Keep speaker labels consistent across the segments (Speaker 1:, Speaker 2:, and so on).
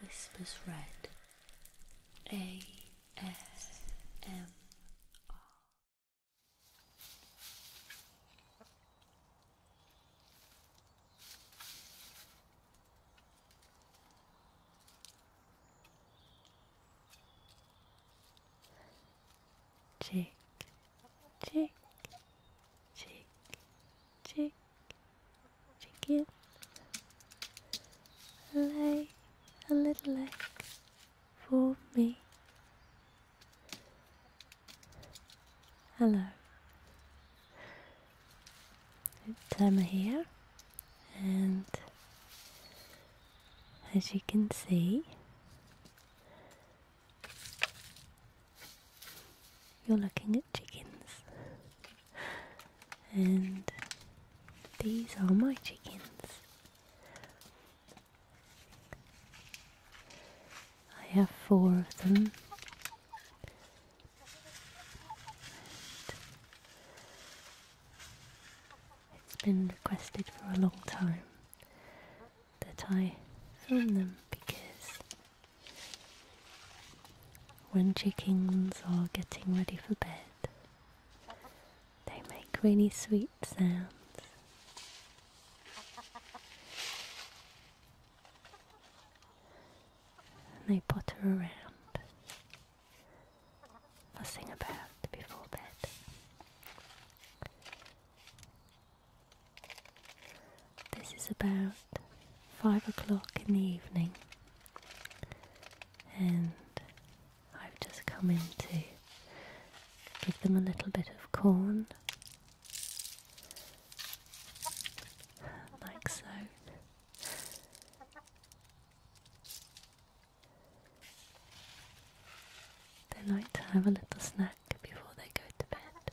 Speaker 1: Whispers Red A S M R Tick, tick, tick, tick, chicken lay a little egg for me. Hello. It's Emma here, and as you can see, you're looking at chickens, and these are my chickens. I have four of them, it's been requested for a long time that I film them because when chickens are getting ready for bed, they make really sweet sounds. And they potter around, fussing about before bed. This is about five o'clock in the evening, and I've just come in to give them a little bit of corn, like so. They like to have a little snack before they go to bed.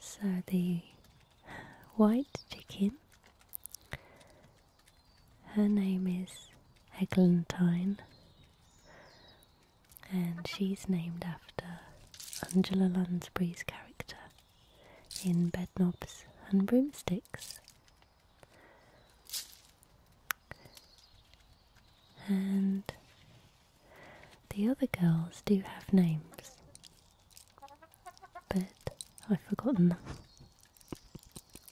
Speaker 1: So the white chicken, her name is Eglantine, and she's named after Angela Lansbury's character in bed knobs and broomsticks. And the other girls do have names, but I've forgotten them.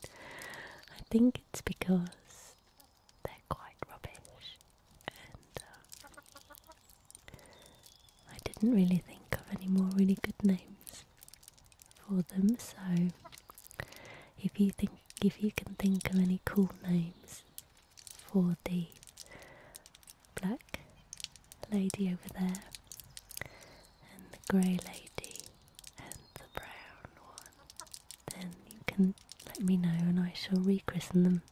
Speaker 1: I think it's because they're quite rubbish. Uh, I didn't really think of any more really good names for them. So if you think, if you can think of any cool names for the black lady over there, and the grey lady, and the brown one, then you can let me know, and I shall rechristen them.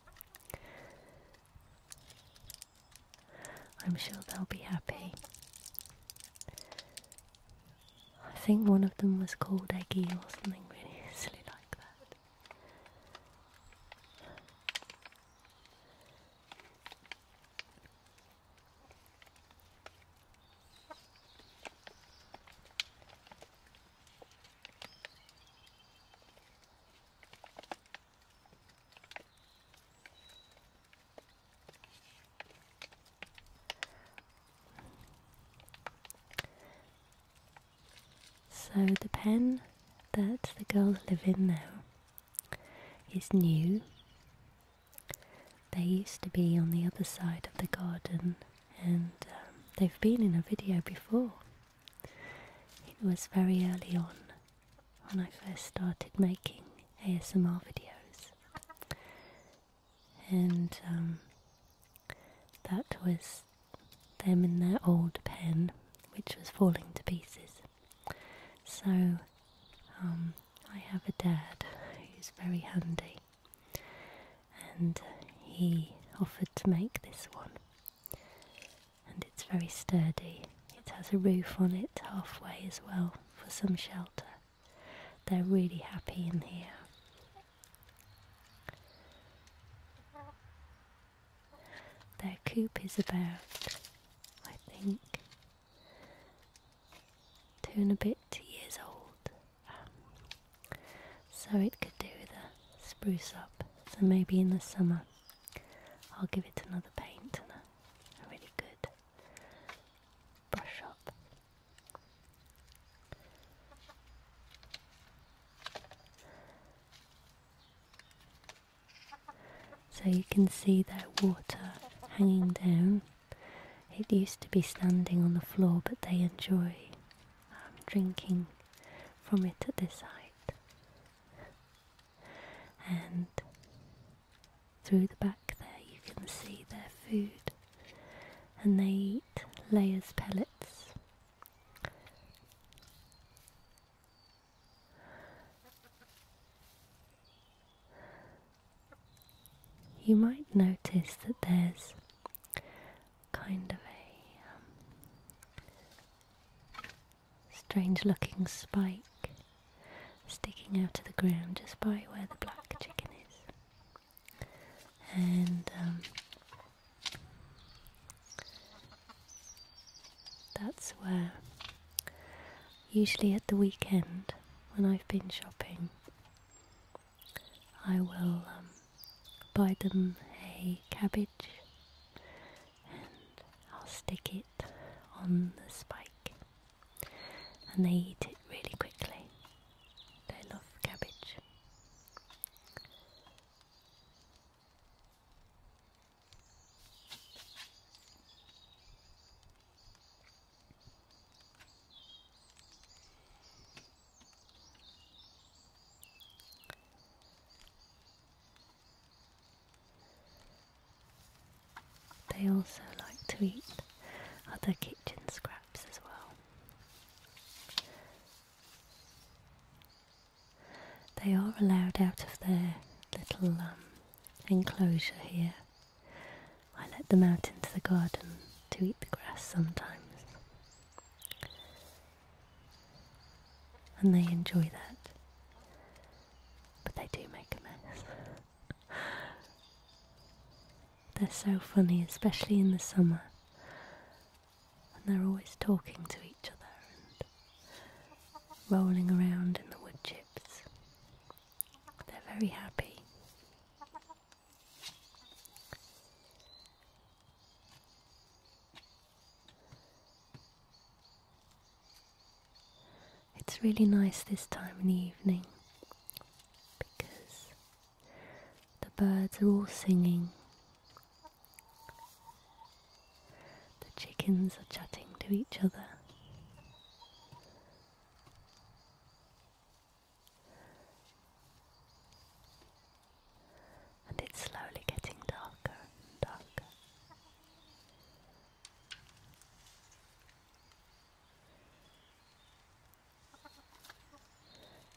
Speaker 1: I'm sure they'll be happy. I think one of them was called Eggy or something really silly like that. So the pen that the girls live in now is new. They used to be on the other side of the garden and um, they've been in a video before. It was very early on when I first started making ASMR videos, and um, that was them in their old pen, which was falling to pieces. So um, I have a dad who's very handy, and he offered to make this one and it's very sturdy. It has a roof on it halfway as well for some shelter. They're really happy in here. Their coop is about, I think, two and a bit years old. so it could do with spruce up. So maybe in the summer I'll give it another paint and a, really good brush up. So you can see that water hanging down. It used to be standing on the floor, but they enjoy um, drinking from it at this height and through the back there you can see their food and they eat layers pellets you might notice that there's kind of a um, strange looking spike sticking out of the ground just by where the black chicken is. And um, that's where, usually at the weekend when I've been shopping, I will um, buy them a cabbage and I'll stick it on the spike and they eat it really quickly. They love cabbage. They also like to eat other kitchen scraps as well. They are allowed out of their little um, enclosure here. I let them out into the garden to eat the grass sometimes and they enjoy that. But they do make a mess. they're so funny, especially in the summer. And they're always talking to each other and rolling around in the wood chips. They're very happy. It's really nice this time in the evening because the birds are all singing, the chickens are chatting to each other. And it's slowly getting darker and darker.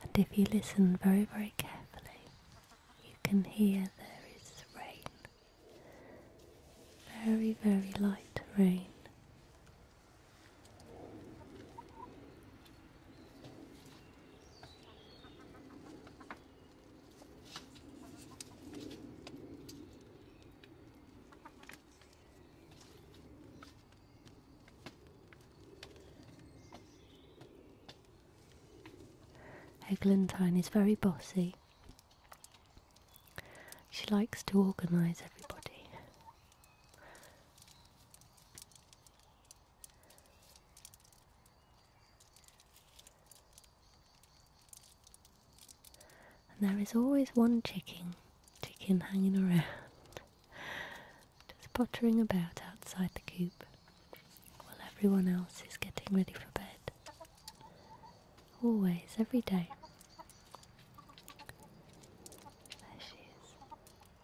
Speaker 1: And if you listen very, very carefully, you can hear there is rain. Very, very light rain. Eglantine is very bossy. She likes to organise everybody. And there is always one chicken, chicken hanging around, just pottering about outside the coop while everyone else is getting ready for bed. Always, every day. There she is.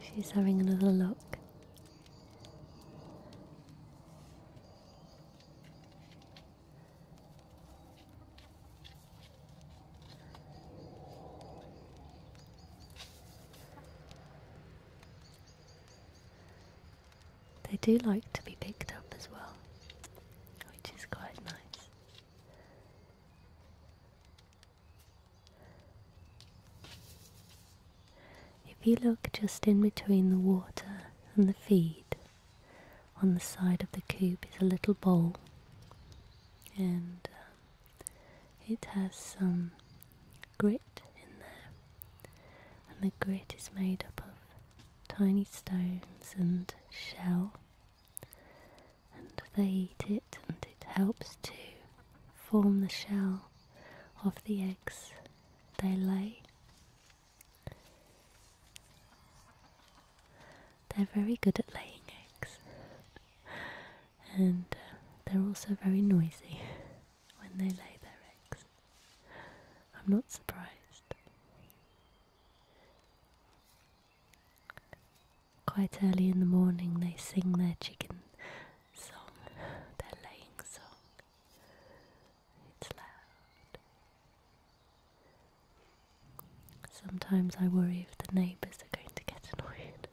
Speaker 1: She's having another look. They do like to be picked up as well, which is quite nice. If you look just in between the water and the feed, on the side of the coop is a little bowl, and um, it has some grit in there, and the grit is made up of tiny stones and shell and they eat it and it helps to form the shell of the eggs they lay. They're very good at laying eggs and uh, they're also very noisy when they lay their eggs. I'm not surprised. Quite early in the morning, they sing their chicken song, their laying song. It's loud. Sometimes I worry if the neighbours are going to get annoyed.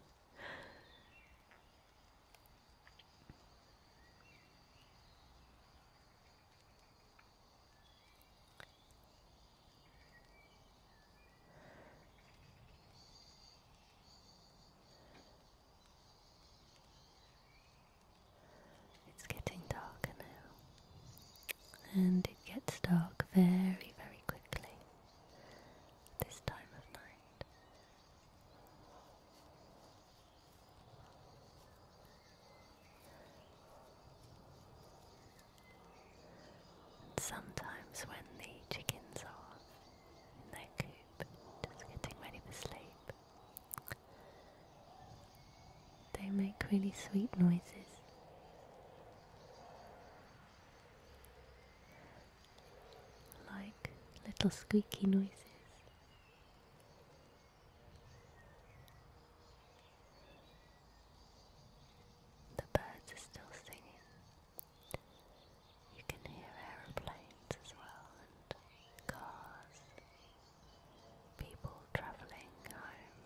Speaker 1: It's getting darker now, and it gets dark very, very quickly this time of night sometimes when the chickens are in their coop, just getting ready for sleep, they make really sweet noises. Like little squeaky noises. The birds are still singing. You can hear aeroplanes as well and cars, people travelling home,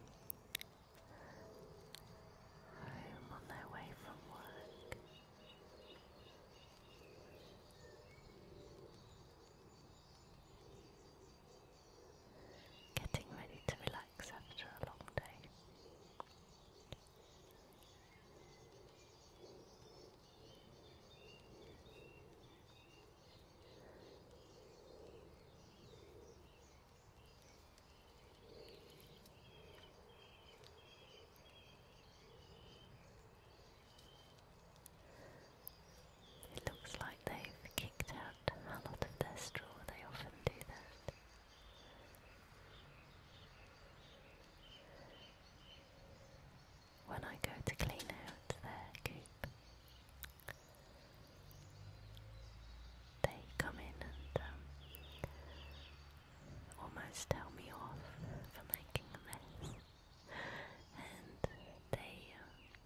Speaker 1: home on their way from work. Getting ready to relax relax after It looks like they've kicked out a lot of their straw, they often do that. When I go to clean out their coop, they come in and um, almost tell me off for making a mess, and they um,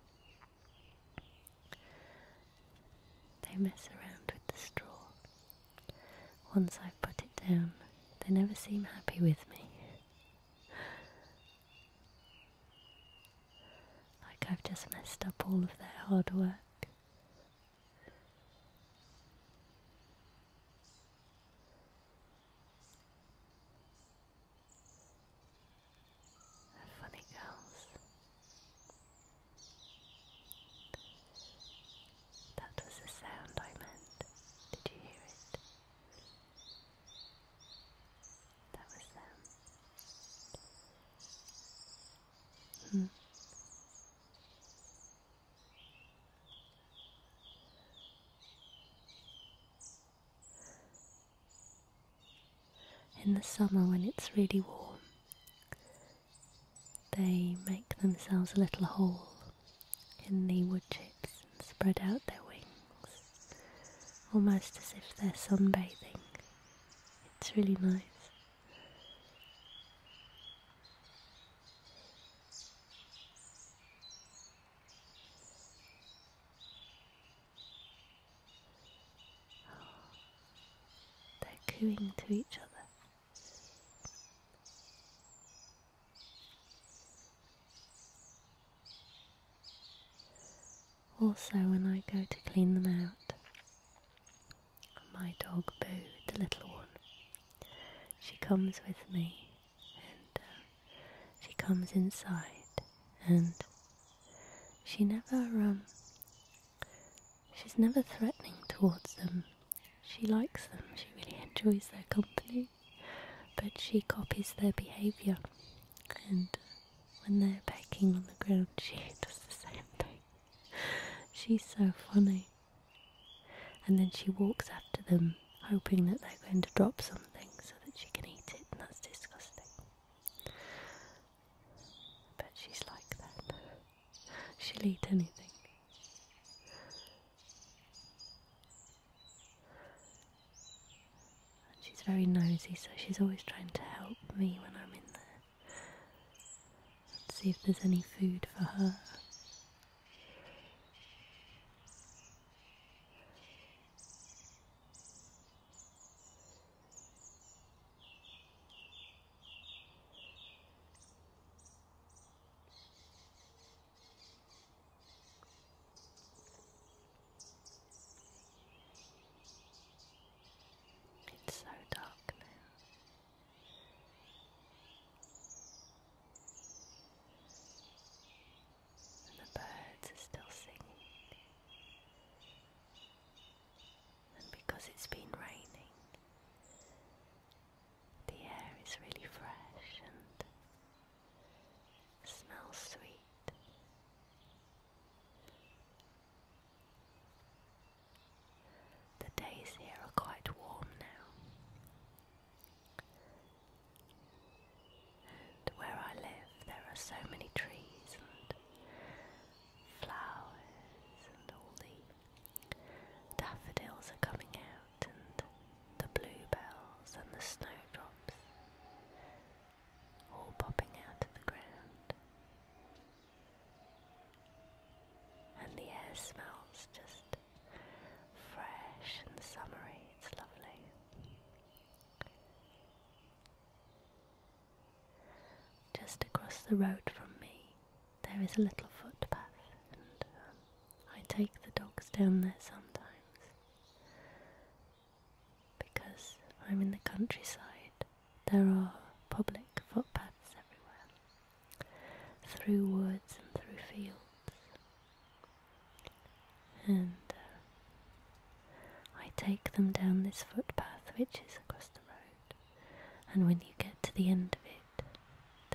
Speaker 1: they mess around with the straw. Once I've put it down, they never seem happy with me. like I've just messed up all of their hard work funny girls. That was the sound I meant. Did you hear it? That was them. Hmm. In the summer, when it's really warm, they make themselves a little hole in the wood chips and spread out their wings, almost as if they're sunbathing. It's really nice they're cooing to each other. Also, when I go to clean them out, my dog Boo, the little one, she comes with me and uh, she comes inside and she never, um, she's never threatening towards them. She likes them, she really enjoys their company, but she copies their behaviour. And when they're pecking on the ground, she does the same thing. She's so funny. And then she walks after them, hoping that they're going to drop something so that she can eat it, and that's disgusting. But she's like that. She'll eat anything. she's very nosy, so she's always trying to help me when I'm in there. see if there's any food for her. It's so dark now. And the birds are still singing. And because it's been raining, the air is really fresh and smells sweet. The days here are quite warm now. And where I live, there are so many trees and flowers, and all the daffodils are coming out, and the bluebells and the snowdrops all popping out of the ground. And the air smells just fresh and summery, it's lovely. Just across the road from me, there is a little footpath, and um, I take the dogs down there sometimes because I'm in the countryside. There are public footpaths everywhere, through woods and through fields and uh, I take them down this footpath which is across the road. And when you get to the end of it,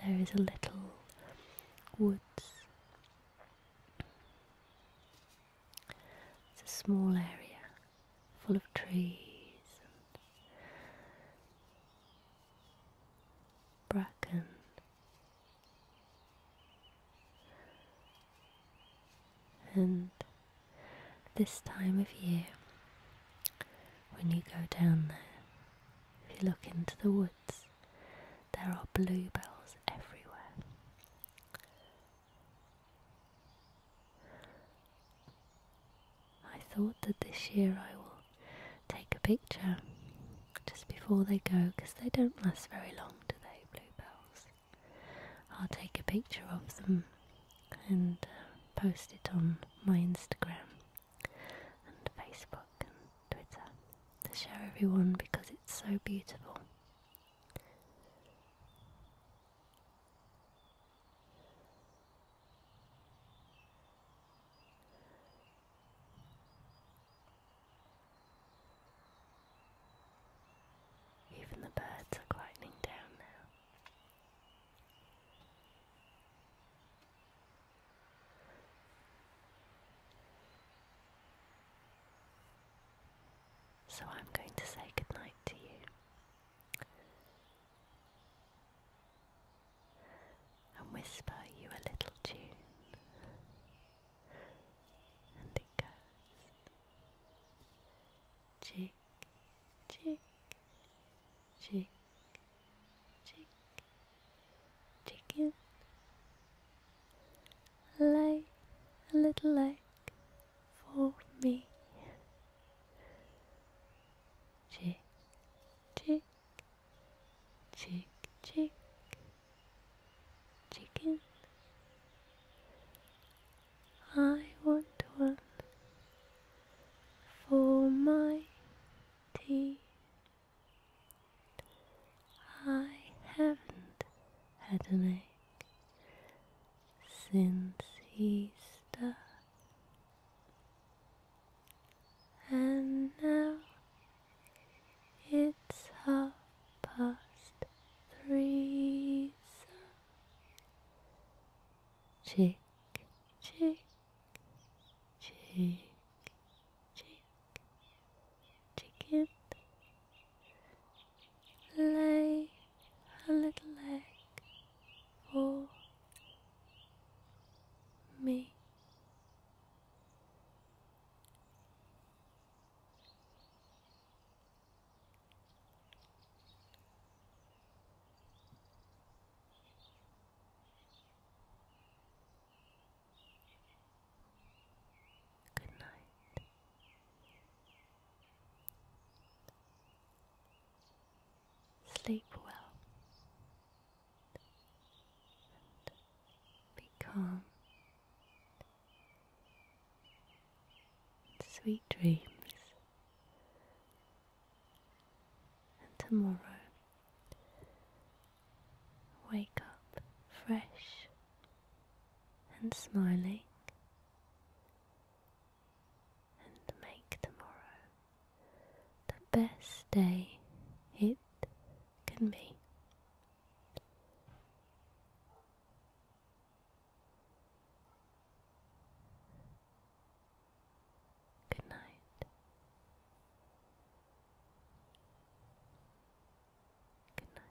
Speaker 1: there is a little woods. It's a small area full of trees and bracken and this time of year, when you go down there, if you look into the woods, there are bluebells everywhere. I thought that this year I will take a picture just before they go because they don't last very long, do they, bluebells? I'll take a picture of them and uh, post it on my Instagram and Facebook and Twitter to show everyone because it's so beautiful.
Speaker 2: Even the birds are quietening down now.
Speaker 1: So I'm going to say goodnight to you and whisper you a little tune and it goes chick, chick, chick, chick, chicken. Lay a little egg for me. Chick, chick, chick, chick, chicken. I want one for my tea. I haven't had an egg since Easter, and now it's half past three, sir. Chick, chick, chick, chick, chicken. Lay a little egg for me. Good night. Sleep well be calm. Sweet dreams. And tomorrow, wake up fresh and smiling. And make tomorrow the best day it can be. Good night. Good night.